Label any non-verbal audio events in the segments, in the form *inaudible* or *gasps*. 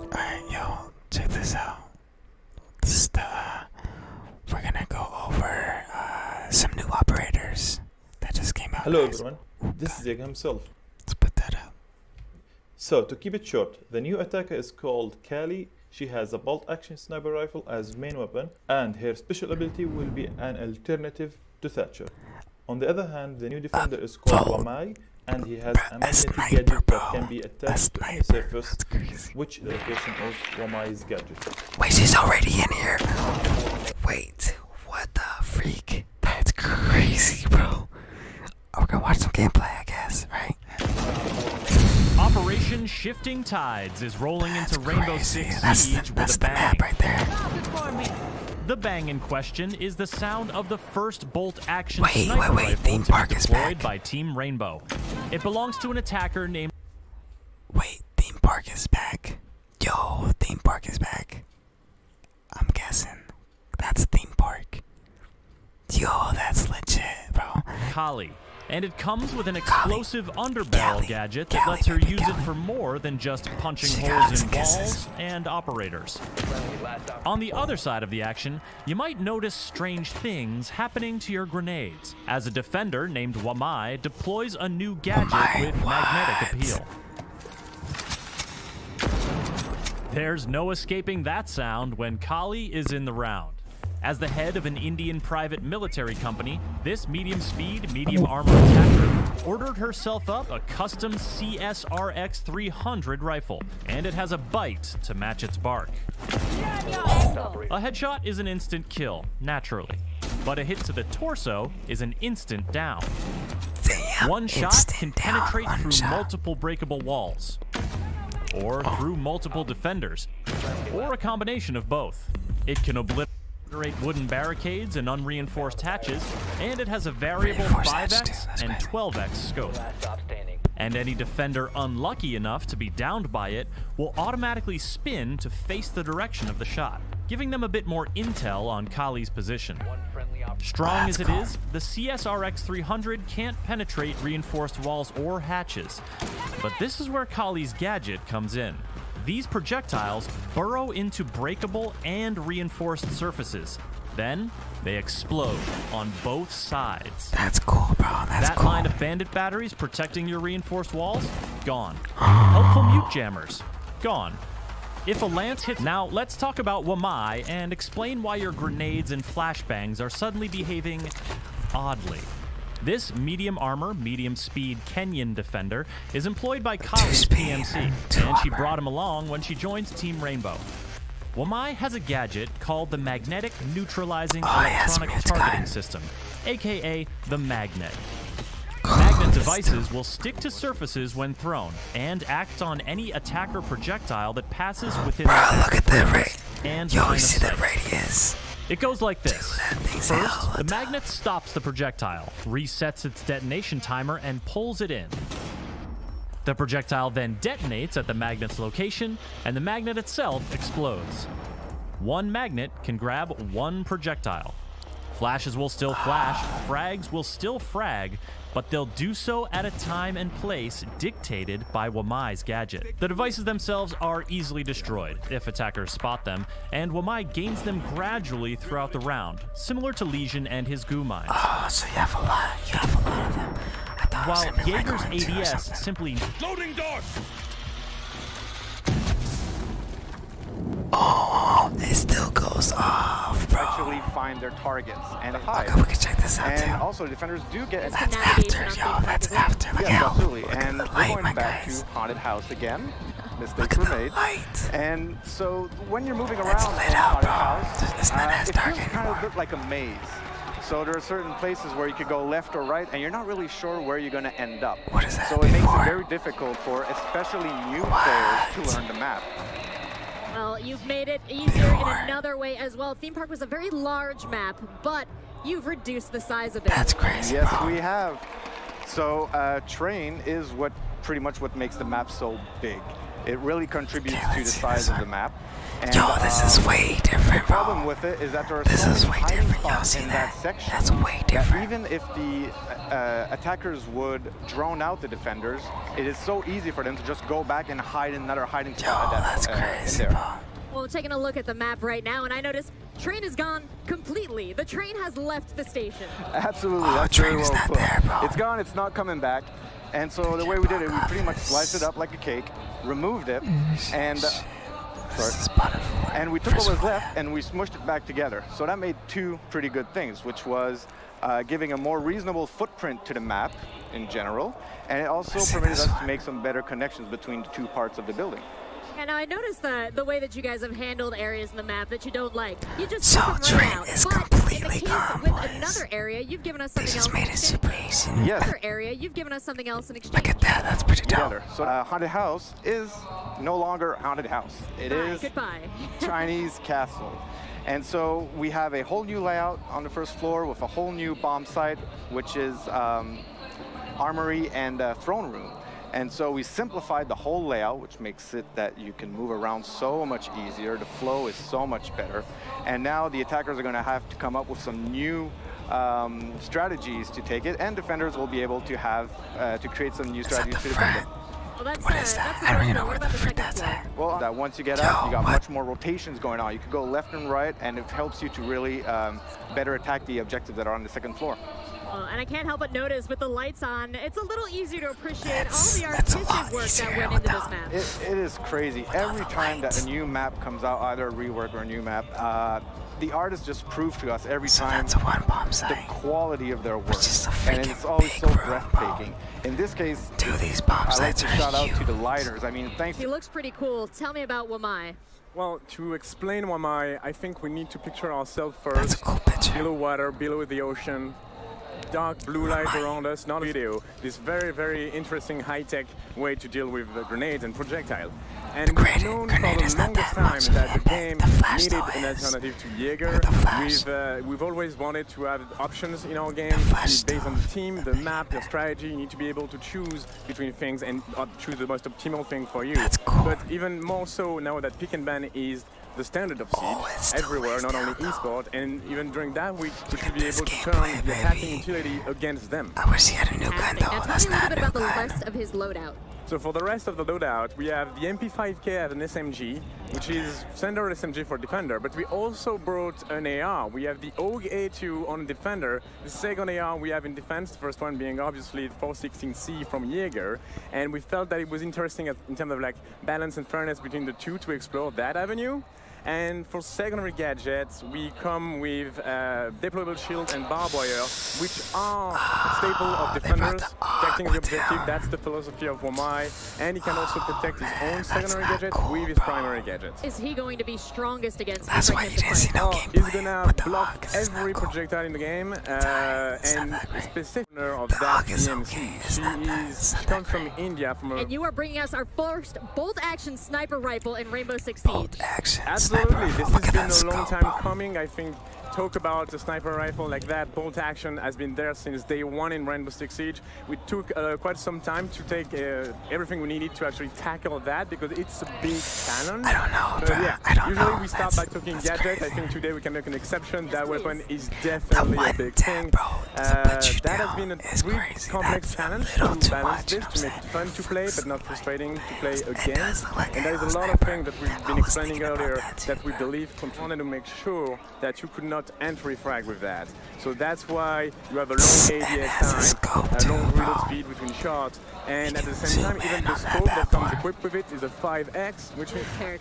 Alright, yo, check this out. This is the, uh, we're gonna go over uh, some new operators. That just came out. Hello, everyone. Oh, this is Jaeger himself. Let's put that up. So, to keep it short, the new attacker is called Kali. She has a bolt action sniper rifle as main weapon, and her special ability will be an alternative to Thatcher. On the other hand, the new defender is called oh. Wamai, and he has a magnetic gadget that can be attached to the surface, which location of Wamai's gadget. Wait, she's already in here. Wait, what the freak? That's crazy, bro. we're gonna watch some gameplay, I guess, right? Operation Shifting Tides is rolling into Rainbow Six Siege the, with a bang. The bang in question is the sound of the first bolt action wait, sniper wait, Theme park is deployed by Team Rainbow. It belongs to an attacker named. Wait, theme park is back. Yo, theme park is back. I'm guessing that's theme park. Yo, that's legit, bro. Kali. And it comes with an explosive underbarrel gadget that lets her use it for more than just punching holes in walls and operators. On the other side of the action, you might notice strange things happening to your grenades as a defender named Wamai deploys a new gadget with magnetic appeal. There's no escaping that sound when Kali is in the round. As the head of an Indian private military company, this medium speed, medium armor attacker ordered herself up a custom CSRX 300 rifle, and it has a bite to match its bark. A headshot is an instant kill, naturally. But a hit to the torso is an instant down. one shot can penetrate through multiple breakable walls, or oh. through multiple defenders, or a combination of both. It can obliterate wooden barricades and unreinforced hatches, and it has a variable 5x and 12x scope. And any defender unlucky enough to be downed by it will automatically spin to face the direction of the shot, giving them a bit more intel on Kali's position. Strong as it is, the CSRX 300 can't penetrate reinforced walls or hatches. But this is where Kali's gadget comes in. These projectiles burrow into breakable and reinforced surfaces. Then they explode on both sides. That's cool, bro. That's that cool. of bandit batteries protecting your reinforced walls? Gone. *gasps* Helpful mute jammers? Gone. If a lance hits... Now, let's talk about Wamai and explain why your grenades and flashbangs are suddenly behaving oddly. This medium armor, medium speed Kenyan defender is employed by Kali's and she brought him along when she joins Team Rainbow. Wamai has a gadget called the Magnetic Neutralizing oh, Electronic Targeting System, aka the magnet. Magnet devices will stick to surfaces when thrown and act on any attacker projectile that passes within. Bro, the radius. It goes like this. First, the magnet stops the projectile, resets its detonation timer, and pulls it in. The projectile then detonates at the magnet's location, and the magnet itself explodes. One magnet can grab one projectile. Flashes will still flash, frags will still frag, but they'll do so at a time and place dictated by Wamai's gadget. The devices themselves are easily destroyed if attackers spot them, and Wamai gains them gradually throughout the round, similar to Legion and his goo mines. Ah, so you have a lot, you have a lot of them. While Jaeger's ADS simply Oh, it still goes off, bro. Actually, find their we can check this out and also, defenders do get. That's after, y'all. That's after. y'all. absolutely. Look and at the light, we're going back to haunted house again. Mistakes were made. Light. And so when you're moving around, it's lit out, bro. House, it's not as dark it feels kind of like a maze. So there are certain places where you could go left or right, and you're not really sure where you're going to end up. What is that So it makes it very difficult for especially new players to learn the map. Well, you've made it easier in another way as well. Theme Park was a very large map, but you've reduced the size of it. That's crazy. Yes, we have. So uh, train is what pretty much what makes the map so big. It really contributes to the size of the map. Yo, this is um, way different, bro. this is way different. Y'all see that? section, That's way different. Even if the uh, attackers would drone out the defenders, it is so easy for them to just go back and hide in another hiding spot. Yo, that's, uh, crazy, bro. Well, taking a look at the map right now, and I notice train is gone completely. The train has left the station. Absolutely. Oh, train well is not there, bro. It's gone. It's not coming back. And so the way we did it, we pretty much sliced it up like a cake, removed it, and uh, and we took what was left and we smushed it back together. So that made two pretty good things, which was uh, giving a more reasonable footprint to the map in general, and it also permitted us to make some better connections between the two parts of the building. And I noticed that the way that you guys have handled areas in the map that you don't like. You just so Trent right is completely calm another area, you've given us something else. This made it super easy. Another area, you've given us something else Look at that. That's pretty dope. Yeah. So, uh, haunted house is no longer haunted house. It is *laughs* Chinese castle. And so we have a whole new layout on the first floor with a whole new bomb site, which is um, armory and uh, throne room. And so we simplified the whole layout, which makes it that you can move around so much easier. The flow is so much better. And now the attackers are going to have to come up with some new um, strategies to take it, and defenders will be able to have uh, to create some new strategies to defend it. What uh, is that? I don't even know what the frick that's at. Well, that once you get up, you got much more rotations going on. You can go left and right, and it helps you to really um, better attack the objectives that are on the second floor. and I can't help but notice with the lights on, it's a little easier to appreciate all the artistic work that went into this map is crazy. Every time that a new map comes out, either a rework or a new map, uh, the artist just proves to us every time the quality of their work. and it's always so breathtaking. In this case, do these bomb I like to shout out to the lighters. I mean, thanks. He looks pretty cool. Tell me about Wamai. Well, to explain Wamai, I think we need to picture ourselves first. That's a cool picture. Below water, below the ocean, dark blue light around us, not a video. This very, very interesting high-tech way to deal with grenades and projectile. And the we've known for the longest time that the game needed an alternative to Jaeger. We've, uh, we've always wanted to have options in our game based on the team, the map, the strategy. You need to be able to choose between things and uh, choose the most optimal thing for you. But even more so now that pick and ban is the standard of siege oh, everywhere, not only esports, and even during that week, we should be able to turn the attacking utility against them. I wish he had a new gun, though. Now That's not a bit about the rest of his loadout. So for the rest of the loadout, we have the MP5K as an SMG, which is standard SMG for Defender, but we also brought an AR. We have the OG 2 on Defender, the second AR we have in defense, the first one being obviously the 416C from Jaeger, and we felt that it was interesting in terms of like balance and fairness between the two to explore that avenue. And for secondary gadgets, we come with uh, deployable shield and barbed wire, which are ah, staple of defenders, protecting the objective. That's the philosophy of Wamai, And he can ah, also protect his own secondary gadget with his primary gadget. Is he going to be strongest against That's why he is no oh, He's gonna block every projectile in the game, uh, and specifically owner of Dog that PMC. Okay. She that, is. She comes from India. From and you are bringing us our first bolt-action sniper rifle in Rainbow Six Siege. Bolt-action Absolutely. Sniper this rifle. has been a long time bomb. coming. I think talk about a sniper rifle like that, bolt action has been there since day one in Rainbow Six Siege. We took uh, quite some time to take uh, everything we needed to actually tackle that because it's a big cannon. I don't know. But, yeah, I don't usually know. we start that's, by talking gadgets. I think today we can make an exception that weapon is definitely a big thing. Bro, uh, that has been a really complex That's challenge to balance much, this, to make fun to play, but not frustrating to play against. and there is a lot of things that we've been explaining earlier that, we believe wanted to make sure that you could not entry frag with that. So that's why you have a long ADS time, a long reload speed between shots, and at the same time, even the scope that comes equipped equipped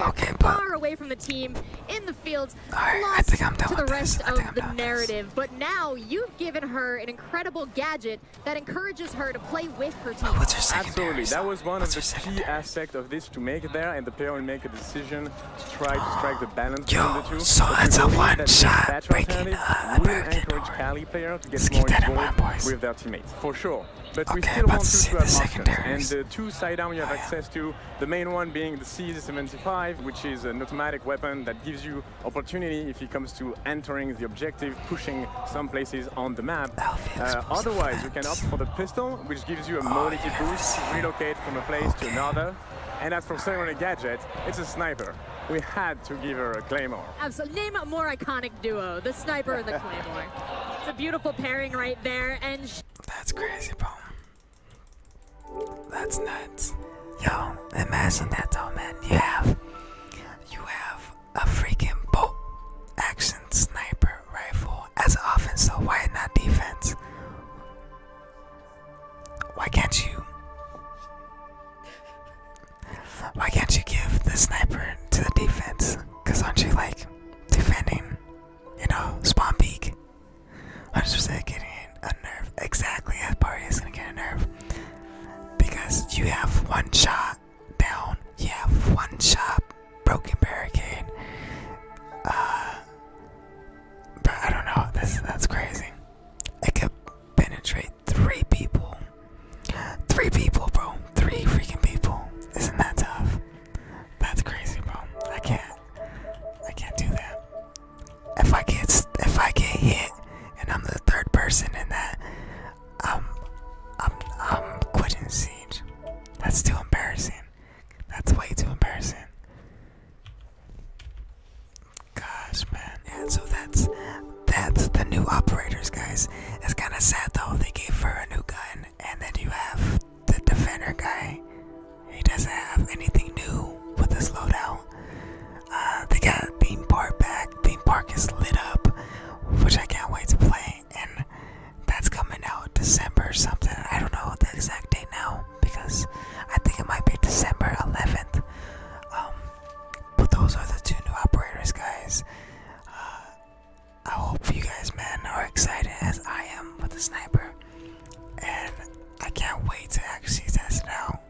okay, far away from the team, in the fields, lost to the rest of the narrative. But now you've given her an incredible gadget that encourages her to play with her team. Oh, Absolutely, that was one of the key aspects of this to make there, and the player will make a decision to try to strike the balance between the two. So that's a one-shot breaking. Uh, will encourage Cali player get Let's more with their teammates, for sure. But we still want you to have markers. And the uh, two sidearm you have access to, the main one being the CZ-75, which is an automatic weapon that gives you opportunity if it comes to entering the objective, pushing some places on the map. Uh, otherwise, you can opt for the pistol, which gives you a mobility boost, relocate from a place to another. And as for Samurai Gadget, it's a sniper. We had to give her a claymore. Absolutely, name more iconic iconic duo, the sniper and the claymore. it's a beautiful pairing right there. And that's crazy, bro. That's nuts. Yo, imagine that though, man. You have, you have a freaking bolt action sniper rifle as offense. So why not defense? Why can't you? Why can't you give the sniper to the defense? Cause aren't you like defending? You know, spawn peak. I'm just getting a nerve. Exactly, that party is gonna get a nerve because you have one shot down. You have one shot broken barricade. Uh, but I don't know. This that's crazy. It could penetrate. Three people. Three people, bro. Three freaking people. Isn't that tough? That's crazy, bro. I can't. I can't do that. If I get if I get hit and I'm the third person in that, I'm I'm I'm quitting siege. That's too embarrassing. That's way too embarrassing. Gosh, man. Yeah, so that's that's the new operators, guys. It's kind of sad though. They gave her a new gun, and then you have the defender guy. He doesn't have anything new with this loadout. Uh, they got Theme Park back. Theme Park is lit up, which I can't wait to play. And that's coming out December something. I don't know the exact date now because I think it might be December 11th. But those are the two new operators, guys. Uh, I hope you guys, man, are excited as I am with the sniper. And I can't wait to actually test it out.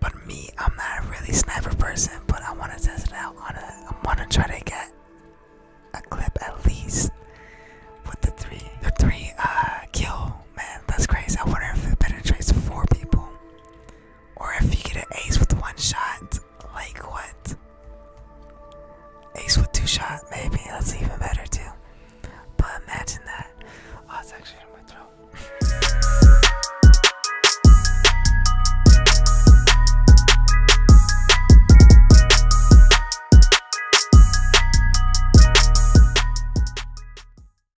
But me, I'm not a really sniper person, but I want to test it out. On a, I want to try to get a clip at least with the three, the three uh, kill. Man, that's crazy. I wonder if it penetrates four people. Or if you get an ace with one shot, like what? Ace with two shots, maybe that's even better too. But imagine that. Oh, it's actually in my throat.